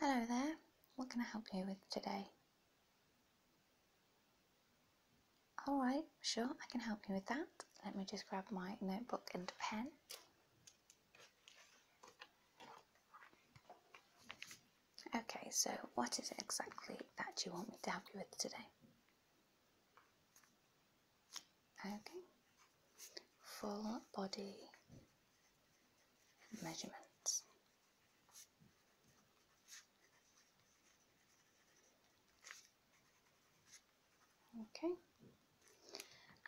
Hello there, what can I help you with today? Alright, sure, I can help you with that. Let me just grab my notebook and pen. Okay, so what is it exactly that you want me to help you with today? Okay, full body measurements. Okay,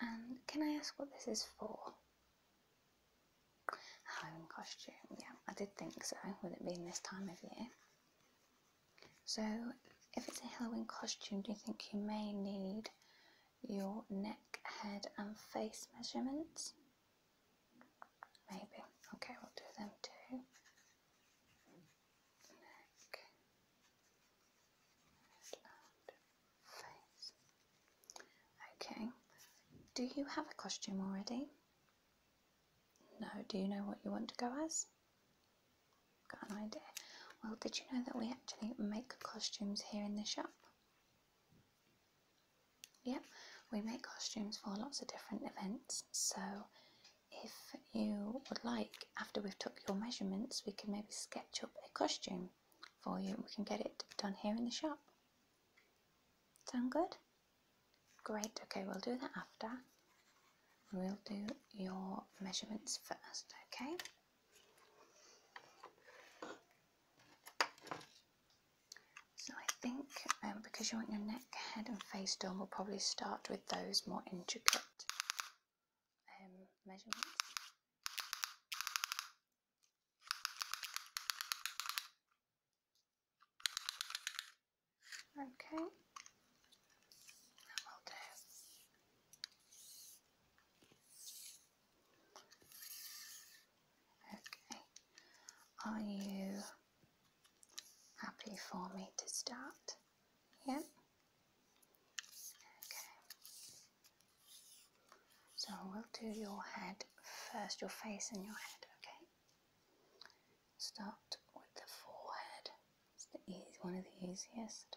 and can I ask what this is for? Home costume, yeah, I did think so, with it being this time of year. So, if it's a Halloween costume, do you think you may need your neck, head, and face measurements. Maybe. Okay, we'll do them too. Neck, head, face. Okay. Do you have a costume already? No. Do you know what you want to go as? Got an idea. Well, did you know that we actually make costumes here in the shop? Yep, we make costumes for lots of different events. So, if you would like, after we've took your measurements, we can maybe sketch up a costume for you. We can get it done here in the shop. Sound good? Great, okay, we'll do that after. We'll do your measurements first, okay? So I think um, because you want your neck, head and face done, we'll probably start with those more intricate um, measurements. Okay, that will do. Okay, are you happy for me to start? Yep. Okay. So we'll do your head first, your face and your head, okay? Start with the forehead. It's the easy, one of the easiest.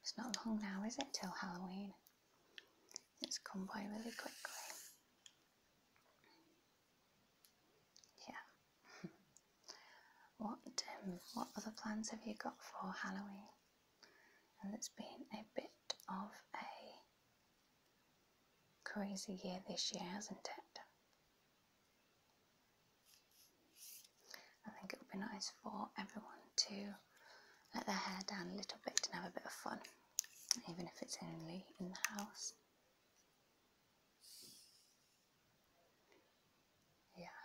It's not long now, is it, till Halloween? It's come by really quickly. Yeah. what um, what other plans have you got for Halloween? And it's been a bit of a Crazy year this year, hasn't it? I think it would be nice for everyone to let their hair down a little bit and have a bit of fun, even if it's only in the house. Yeah.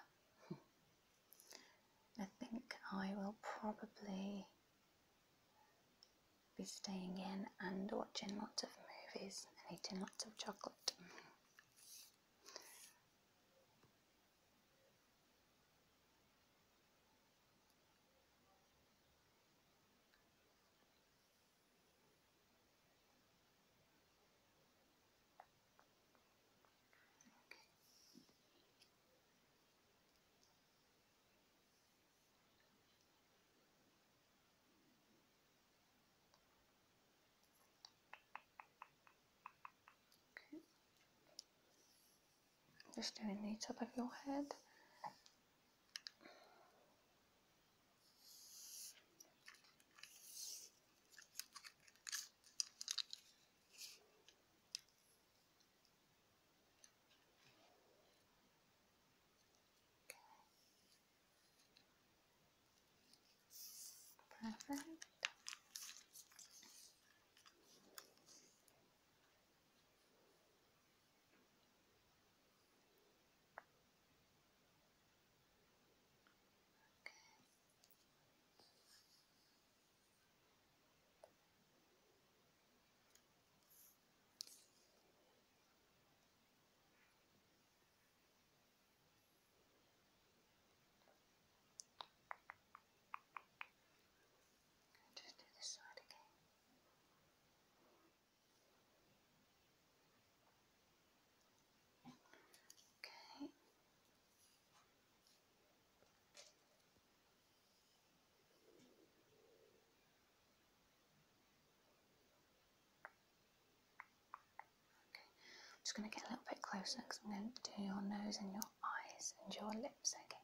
I think I will probably be staying in and watching lots of movies and eating lots of chocolate. Just doing the top of your head. Okay. Perfect. Okay. Okay. I'll just do this side again. Okay. I'm just going to get a little bit closer because I'm going to do your nose and your eyes and your lips again.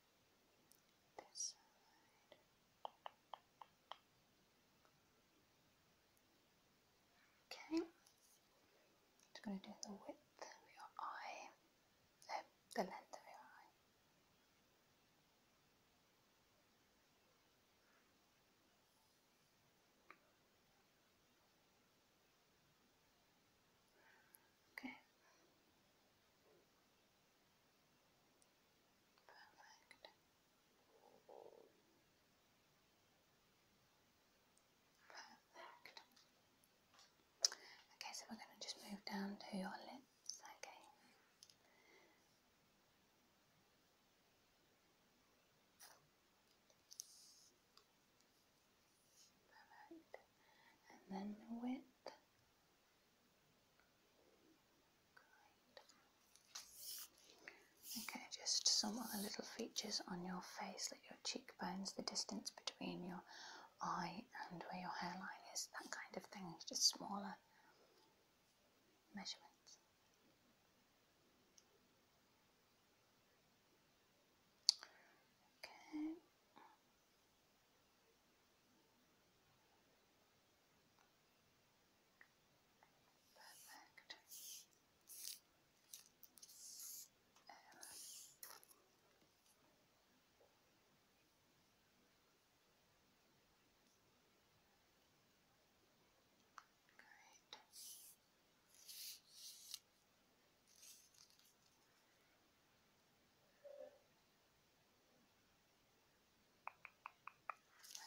Okay, just going to do the width of your eye, no, the length of your eye. Okay. Perfect. Perfect. Okay, so we're going to just move down to your lips, okay? And then the width. Okay, just some other little features on your face, like your cheekbones, the distance between your eye and where your hairline is, that kind of thing, just smaller measurements. Okay, Perfect. Um, Great.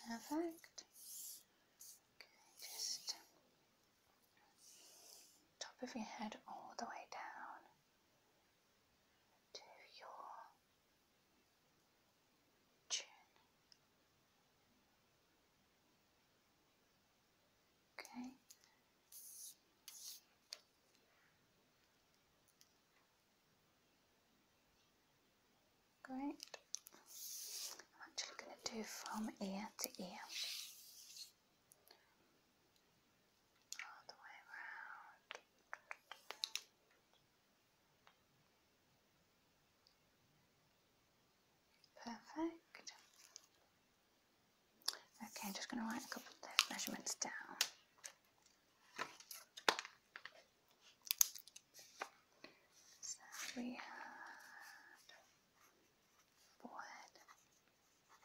Perfect. Okay, just top of your head all the way down to your chin. Okay. Great. I'm actually going to do from ear to ear. All the way around. Perfect. Okay, I'm just going to write a couple of measurements down. So we had forehead, down.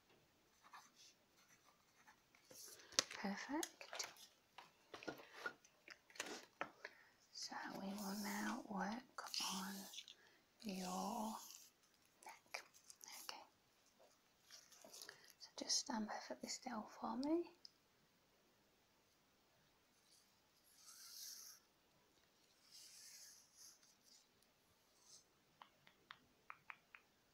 Perfect. So we will now work on your neck. Okay. So just stand perfectly still for me.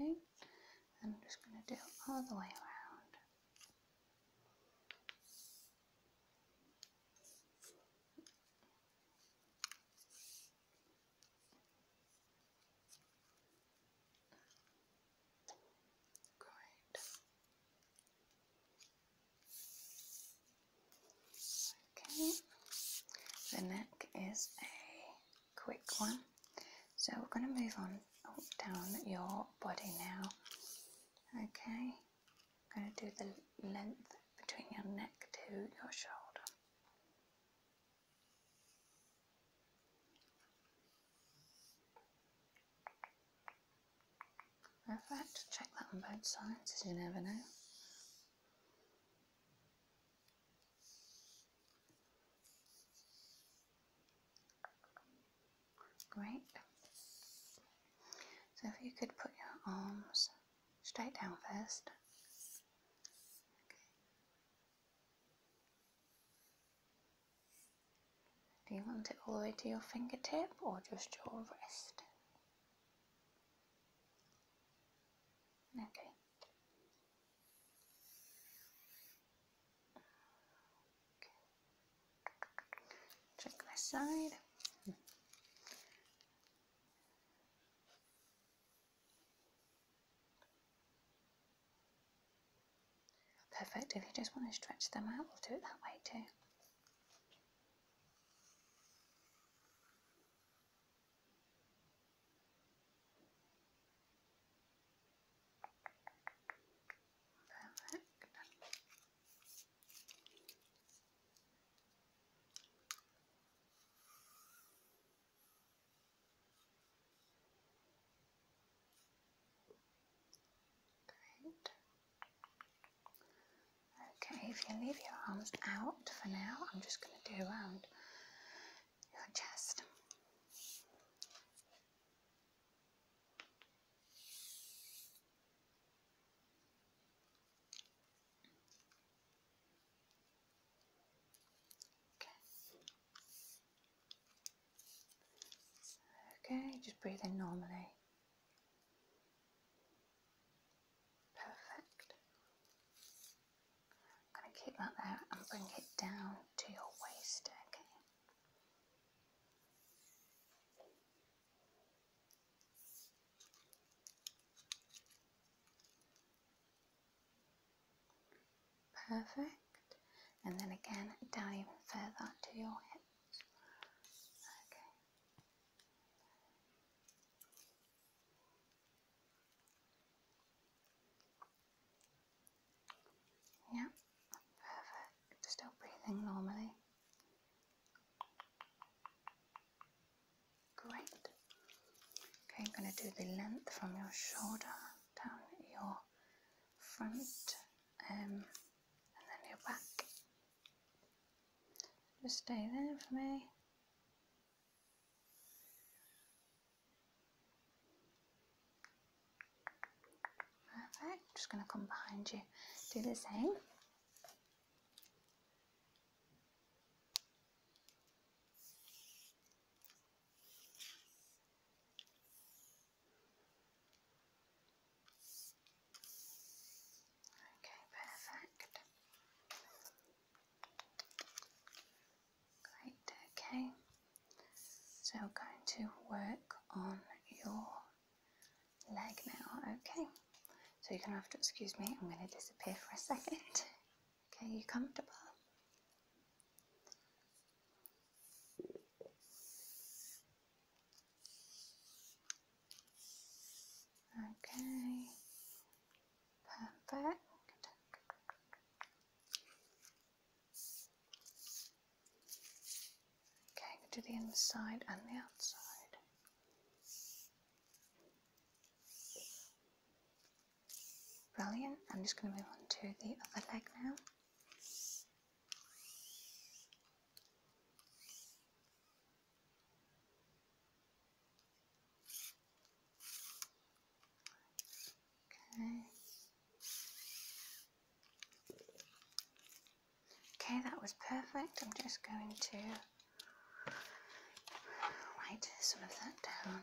Okay, I'm just going to do it all the way around. Great. Okay. The neck is a quick one. So we're going to move on down your body now. Okay. I'm going to do the length between your neck to your shoulder. Perfect. Check that on both sides you never know. Great. So if you could put your arms straight down first. Do you want it all the way to your fingertip or just your wrist? Okay. Check this side. Perfect. If you just want to stretch them out, we'll do it that way too. Perfect. Great. Okay, if you leave your arms out for now, I'm just going to do around your chest. Okay, just breathe in normally. Perfect. I'm going to keep that there and bring it down to your waist, okay? Perfect. And then again down even further to your hips. Okay. Yeah, perfect. Still breathing normally. Great. Okay, I'm going to do the length from your shoulder down your front um, and then your back. Just stay there for me. Perfect. Just going to come behind you. Do the same. Okay, perfect. Great, okay. So we're going to work on your leg now, okay? So you're going to have to excuse me, I'm going to disappear for a second. Okay, you comfortable? Okay, perfect. Okay, do the inside and the outside. Brilliant. I'm just going to move on to the other leg now. Okay. Okay, that was perfect. I'm just going to write some of that down.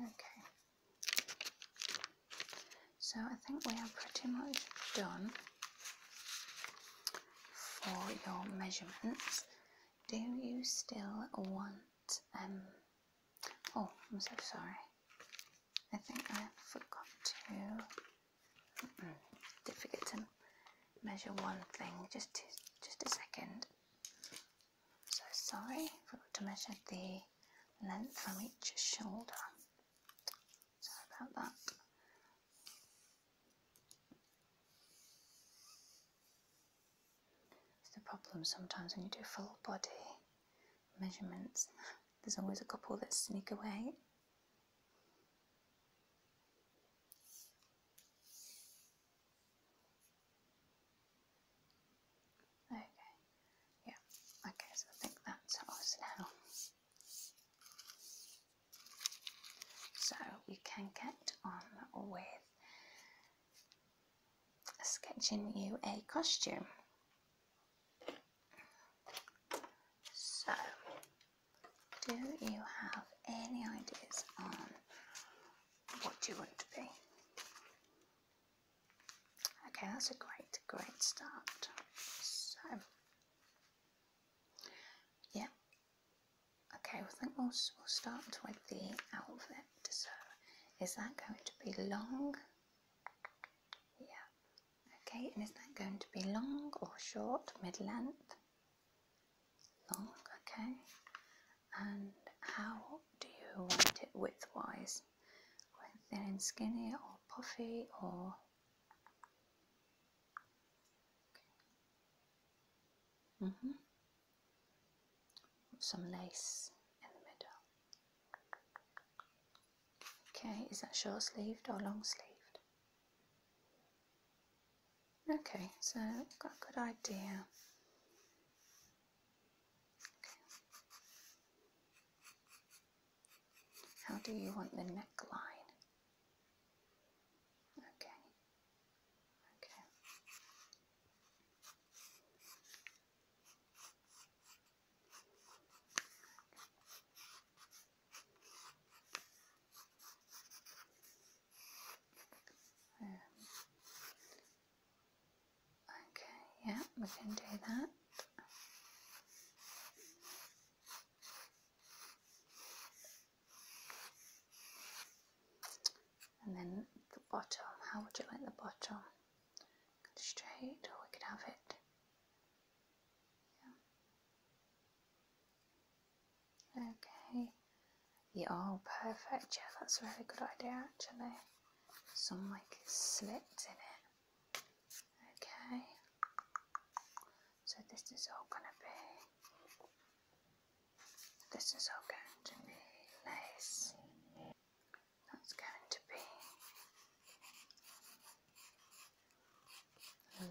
Okay, so I think we are pretty much done for your measurements do you still want um oh I'm so sorry I think I forgot to mm -mm, did forget to measure one thing just just a second so sorry forgot to measure the length from each shoulder sorry about that it's the problem sometimes when you do full body measurements, there's always a couple that sneak away. Okay, yeah, okay, so I think that's us now. So we can get on with sketching you a costume. So, do you have any ideas on what you want to be? Okay, that's a great, great start. So, yeah, Okay, well, I think we'll, we'll start with the outfit. So, is that going to be long? Yeah. Okay, and is that going to be long or short, mid length? Long, okay. And how do you want it width wise? Thin and skinny, or puffy, or Okay. Mm Some lace in the middle. Okay, is that short sleeved or long sleeved? Okay, so got a good idea. How do you want the neckline? Okay, Okay. okay, yeah, we can do that. And then the bottom, how would you like the bottom? Straight, or we could have it. Yeah. Okay. Yeah, all perfect. Yeah, that's a really good idea actually. Some like slits in it. Okay. So this is all gonna be this is all going to be lace. That's going to be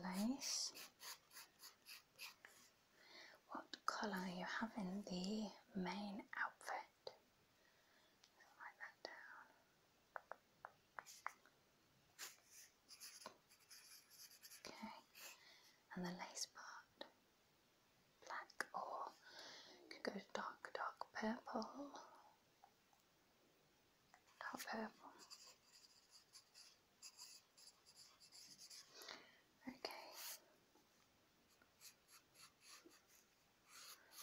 lace. What colour you have in the main outfit? Write that down. Okay, and the lace part, black or can go dark, dark purple, dark purple. Okay,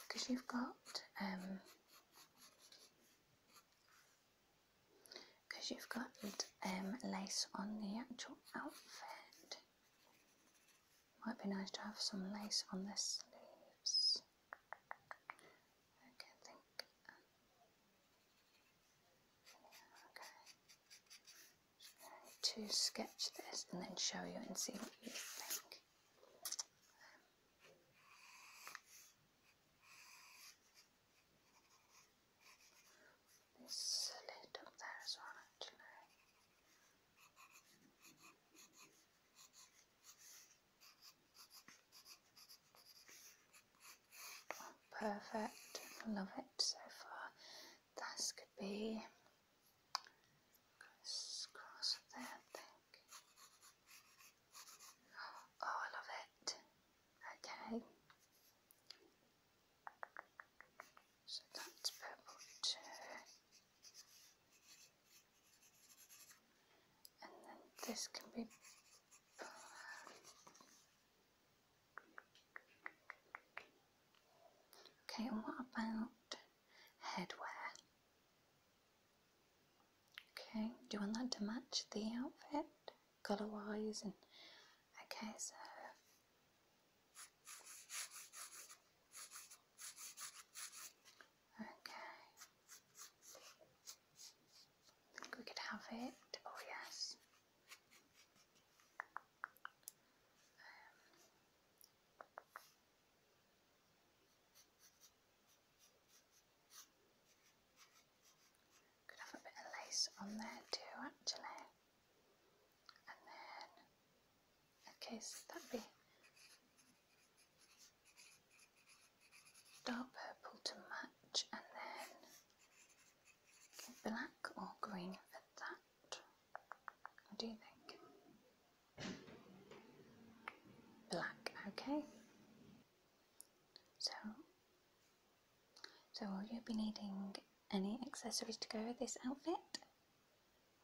because you've got um because you've got um, lace on the actual outfit. Might be nice to have some lace on the sleeves. Okay, I think. Um, To sketch this and then show you and see what you think. Um, there's a there as well, actually. Oh, perfect, love it so far. This could be cross there, I think. Oh, I love it. Okay. So that's purple too. And then this can be Okay, and what about headwear? Okay, do you want that to match the outfit? color wise and okay so okay we could have it oh yes um. Could have a bit of lace on there too, actually. And then, okay, so that'd be dark purple to match, and then black or green for that. What do you think? Black, okay. So so will you be needing any accessories to go with this outfit?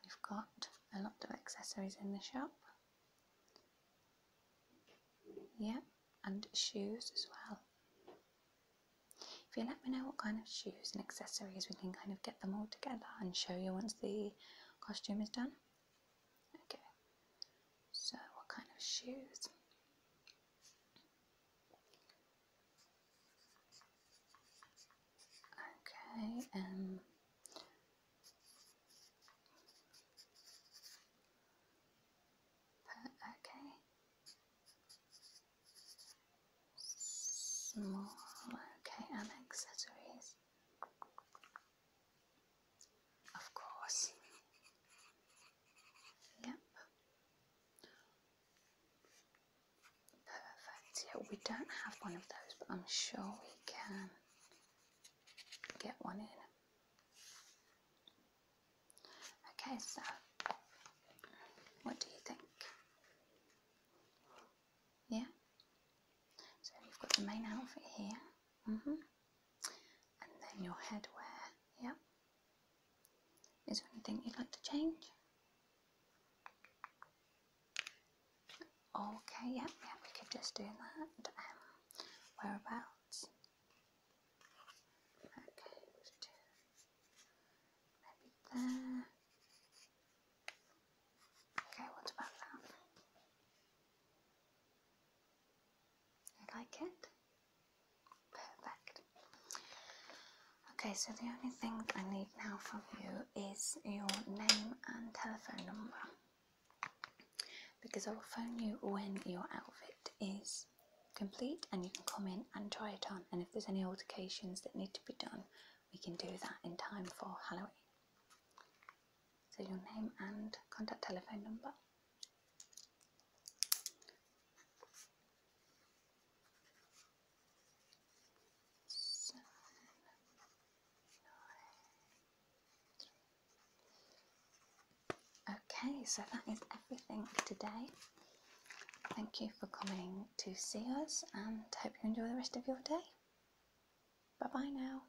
We've got a lot of accessories in the shop. Yeah, and shoes as well. If you let me know what kind of shoes and accessories, we can kind of get them all together and show you once the costume is done. Okay, so what kind of shoes? Okay, um, okay, small, okay, and accessories. Of course. Yep. Perfect. Yeah, we don't have one of those, but I'm sure we can get one in. Okay, so what do you think? Yeah? So we have got the main outfit here. Mm hmm and then your headwear. Yep. Is there anything you'd like to change? Okay, yep, yep, we could just do that. Um, whereabouts? Okay, maybe there. Okay, what about that? You like it? Perfect. Okay, so the only thing I need now from you is your name and telephone number because I will phone you when your outfit is complete and you can come in and try it on. And if there's any alterations that need to be done, we can do that in time for Halloween. So, your name and contact telephone number okay, so that is everything today. Thank you for coming to see us and hope you enjoy the rest of your day. Bye bye now.